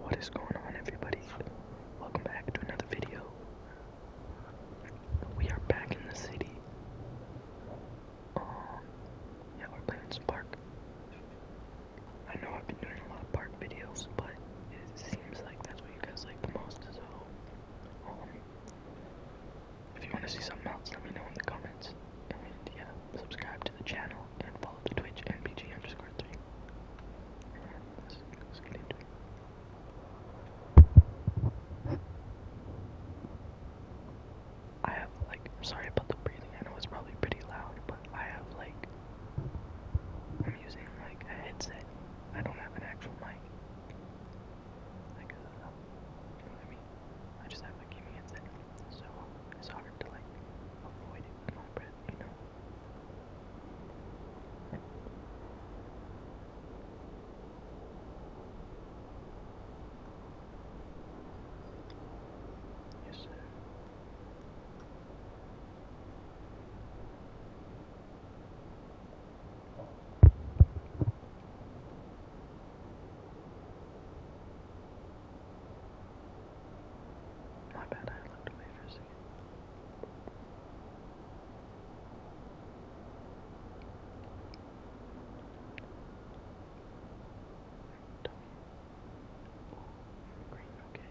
What is going on everybody? Welcome back to another video. We are back in the city. Um, yeah, we're playing some park. I know I've been doing a lot of park videos, but it seems like that's what you guys like the most, so um, if you want to see something else, let me know in the comments subscribe to the channel and follow the Twitch and PG underscore three. I have like, sorry about the breathing. I know it's probably pretty loud, but I have like, I'm using like a headset. I don't have an actual mic. Like, a, uh, you mean? I just have a gaming headset. So it's hard to like avoid it with my breath, you know. Yes, sir. My bad, I looked away for a second. Oh, green, okay.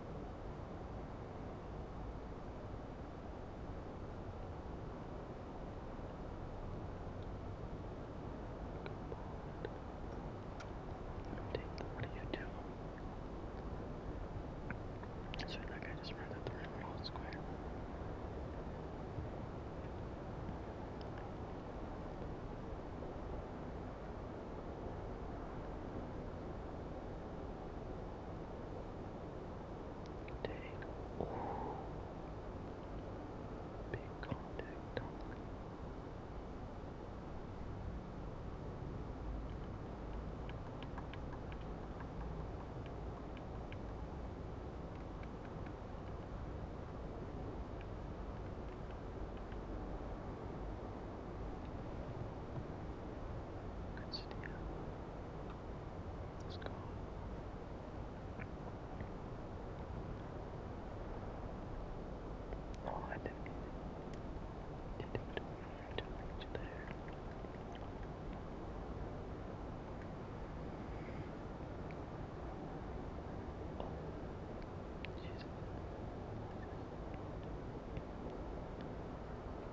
What do you do? That's right, that guy just ran at the right wall square. Take all big contact on Take Good steal. Let's go. Oh, I didn't get it. Didn't it to reach there. Oh, she's.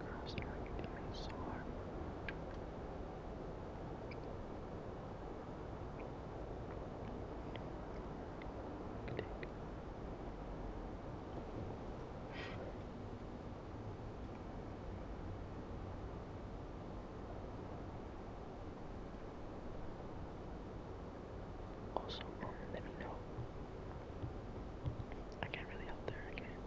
Cross track doing so hard. Also, um, let me know I can't really help there, I can't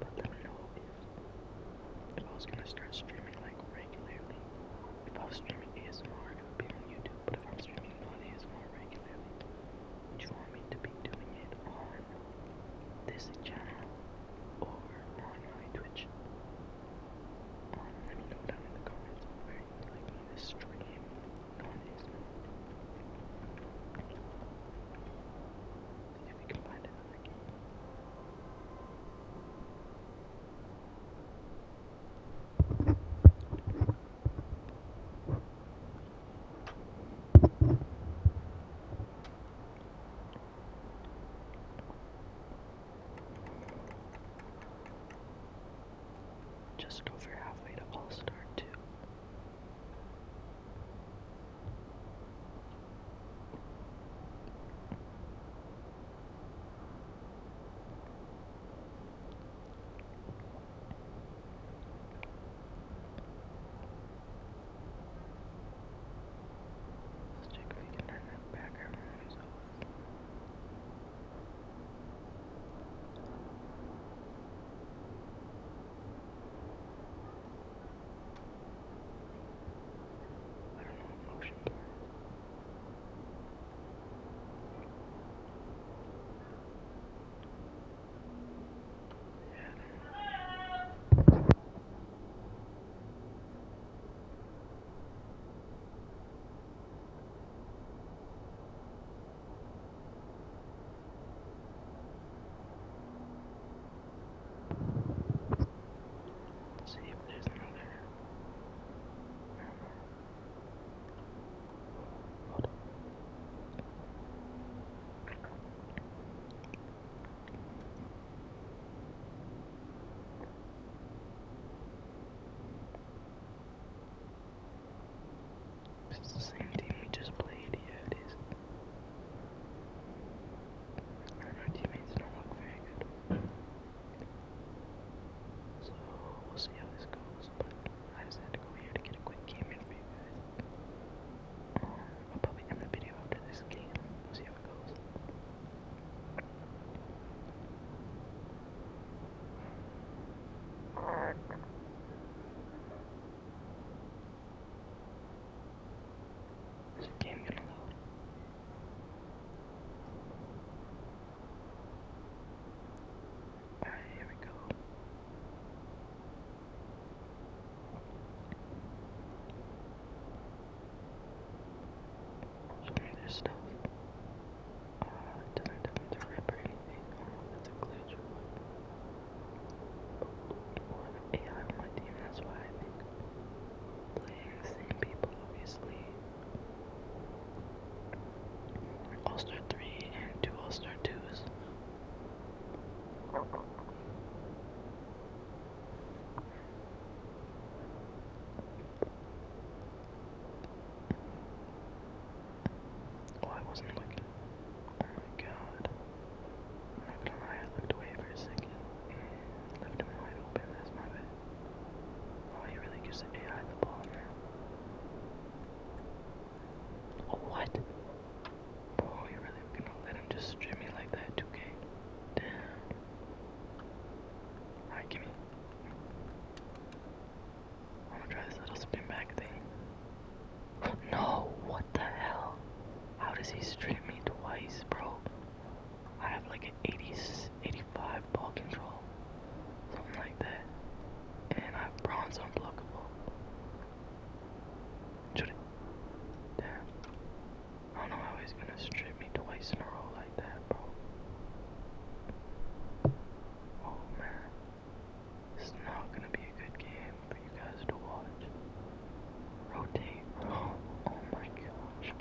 But let me know if, I was gonna start streaming like regularly. If I was streaming ASMR, I would be on YouTube, but if I'm streaming non ASMR regularly, would you want me to be doing it on this channel or on my Twitch? Um, let me know down in the comments like the stream noise. If we can find another game. I just over halfway to All Star 2. Let's check if we can turn that background noise off. I don't know motion blur. Yeah, I don't know. See if there's another. Hold on. It's the same team we just played, yeah it is. And teammates don't look very good. So we'll see how this goes, but I just to go here to get a quick game for you guys. Um, I'll probably end the video after this game. We'll see how it goes. Is the game gonna load? Alright, here we go. Spray stuff. Uh, did I attempt to that's a glitch. Or an AI on my that's why Playing the same people, obviously. All Star 3 and two All Star 2s. Oh, I wasn't looking. Oh my god. I'm not gonna lie, I looked away for a second. left him wide open, that's my bad. Oh, he really gives the AI the ball now. Oh, what? Oh, you really gonna let him just strip me like that, 2K? Damn. Alright, gimme. I'm gonna try this little spin back thing. no, what the hell? How does he strip me twice, bro? I have like an 80, 85 ball control. Something like that. And I have bronze unblockable. Shoot it. Damn. I don't know how he's gonna strip me twice in a row like that, bro. Oh man. This is not gonna be a good game for you guys to watch. Rotate, Oh my gosh.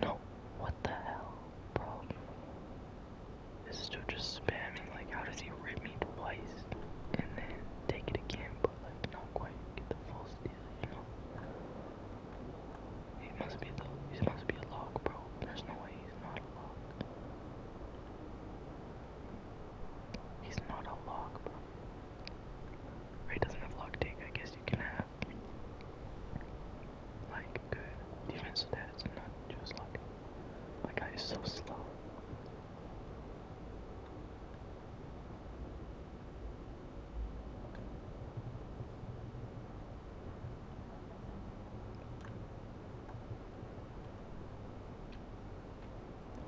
No, what the hell, bro? This is dude just spamming, like, how does he rip me twice and then take it again, but, like, not quite get the full steal, He must be, though. He must be a lock, bro. There's no way he's not a lock. He's not a lock, bro. Ray doesn't have lock take. I guess you can have like good. Even so that it's not just like my guy is so slow.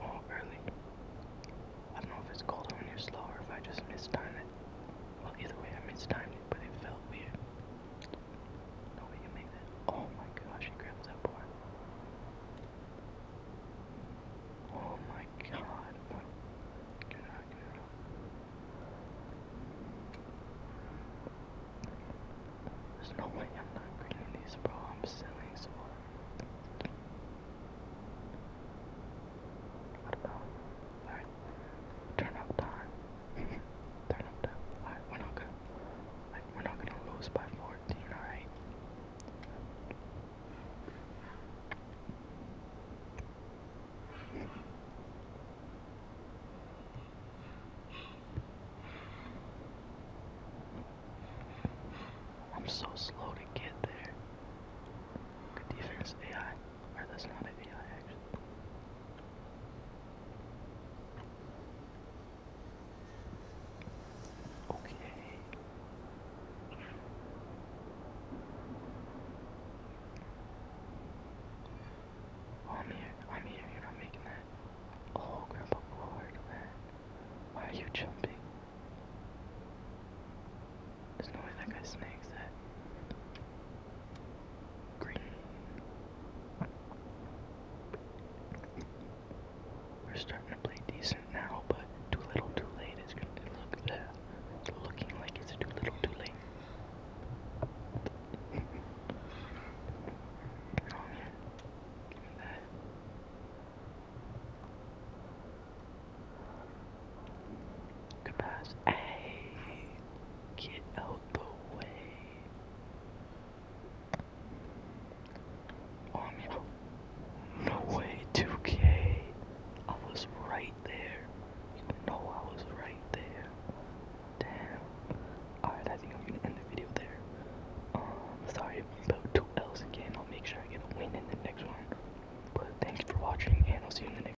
Oh, early. I don't know if it's colder when you're slow if I just mistimed it. Well, either way, I mistimed it, but it felt weird. No, we can make that. Oh my gosh, he grabs that board. Oh my god. What? Get There's no way I'm not greening these, bro. I'm selling so What about? Turn up time. Turn up we're not gonna. Like, we're not gonna lose by 14, alright? I'm so slow to get there. defense AI. Or that's not AI actually. Okay. I'm here. I'm here. You're not making that. Oh, Grandpa Glory, come Why are you jumping? There's no way that guy snags that. Green. We're starting to play decent now, but too little, too late It's looking like it's too little, too late. Come get out the way. no way, 2K. I was right there. You know I was right there. Damn. Alright, I think I'm gonna end the video there. Um, sorry about 2Ls again. I'll make sure I get a win in the next one. But thanks for watching, and I'll see you in the next